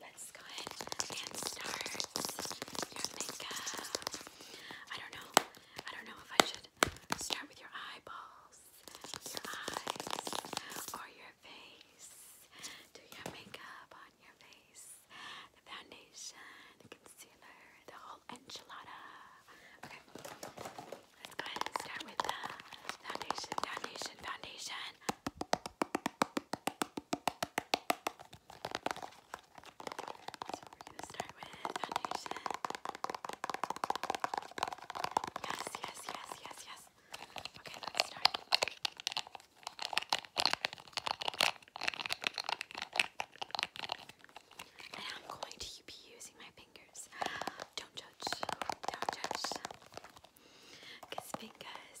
let's go ahead and start your makeup. I don't know. I don't know if I should start with your eyeballs, your eyes, or your face. Do your makeup on your face, foundation, concealer, the whole enchilada. Okay, let's go ahead and start with the foundation, foundation, foundation. So we're gonna start with foundation. Yes, yes, yes, yes, yes. Okay, let's start. And I'm going to be using my fingers. Don't judge. Don't judge. Because fingers,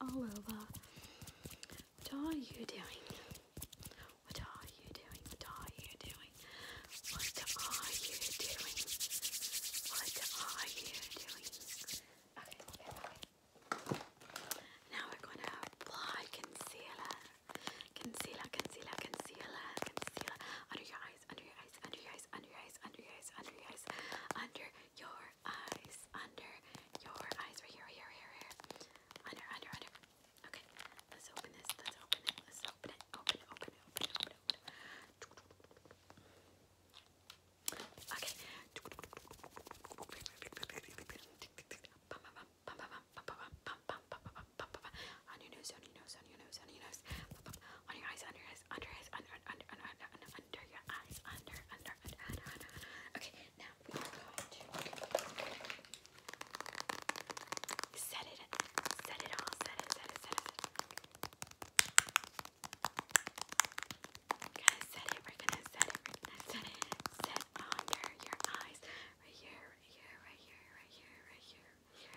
all oh, over. Uh, what are you doing? What are you doing? What are you doing? What are you doing? What are you doing? Okay, okay, okay. Now we're going to apply concealer. Concealer, concealer, concealer, concealer. Under your eyes, under your eyes, under your eyes, under your eyes, under your eyes, under your eyes, under your eyes, under your eyes, right here, here, here, here, under, under, under. Okay, let's open this. Let's open it. Let's open it. Open it. Open it. Open it. Open it. Okay. On your nose, on your nose, on your nose, on your nose, on your eyes, on your eyes, under eyes, under, under, under, under, under, under your eyes, under, under, under, under, under. Okay, now we are going to set it, set it all, set it, set it, set it. We're gonna set it, we're gonna set it, we're gonna set it, set under your eyes, right here, right here, right here, right here, right here, here.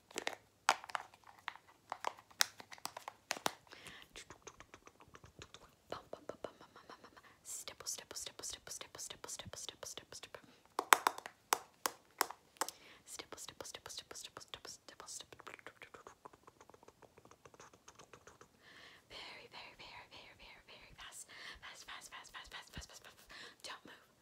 Stipple, stipple, stipple, stipple, stipple, stipple, stipple, stipple, stipple, stipple. Stipple, stipple, stipple, stipple, stipple, stipple, stipple, stipple. Very, very, very, very, very, very fast. Fast, fast, fast, fast, fast, fast, fast, fast. Don't move.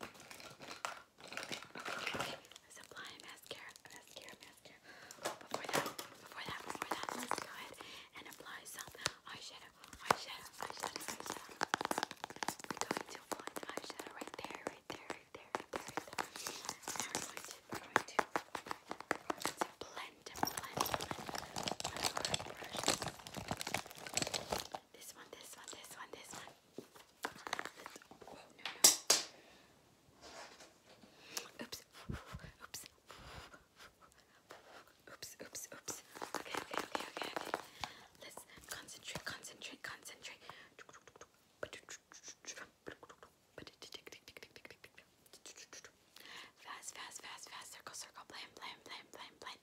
Let's apply a mascara, mascara, mascara. Oh, before that, before that, before that, let's go ahead and apply some eyeshadow, eyeshadow, eyeshadow, eyeshadow. We're going to apply the eyeshadow right there, right there, right there, right there, right there. Now we're going to, we're going to, we're going to blend, blend, blend. Brush. This one, this one, this one, this one. let Oops. Oops. Oops, oops, oops. Okay, okay, okay, okay, okay. Let's concentrate, concentrate, concentrate. Fast, fast, fast, Circle, circle, blame, blame, blame, blame, blame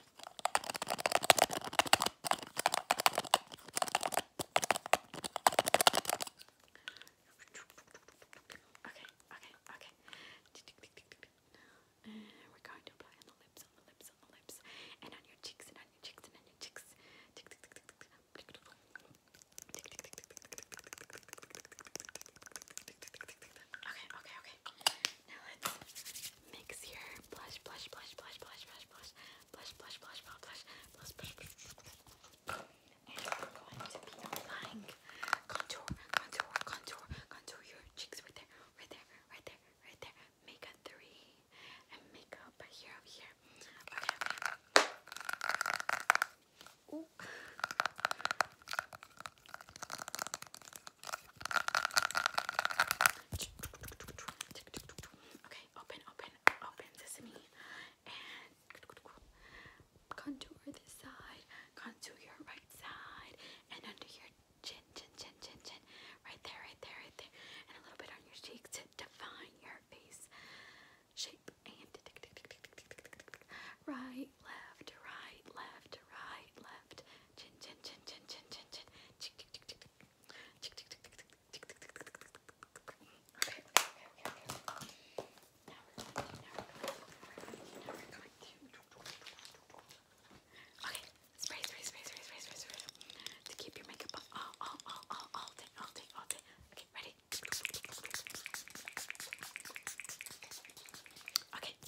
Okay, okay, okay. Uh, we're going to apply on the lips, on the lips, on the lips, and on your cheeks, and on your cheeks, and on your cheeks. Okay, okay, okay. Now let's mix your blush, blush, blush, blush, blush, blush, blush, blush, blush, blush, blush, blush, blush, blush. And we're going to be applying contour, contour, contour, contour your cheeks right there, right there, right there, right there. Make a three and make up right here, over here. Okay. Ooh. Okay, open, open, open sesame and contour this side, contour your right side, and under your chin, chin, chin, chin, chin, right there, right there, right there, and a little bit on your cheek to define your face shape. right, left, right, left, right, left. Chin chin chin chin chin chin chin. Okay, okay, okay, okay. Now we're now we're now we're going to. Okay, spray, spray, spray, spray, spray, spray, spray. To keep your makeup all, all, all, all, all day, all day, all day. Okay, ready? Okay.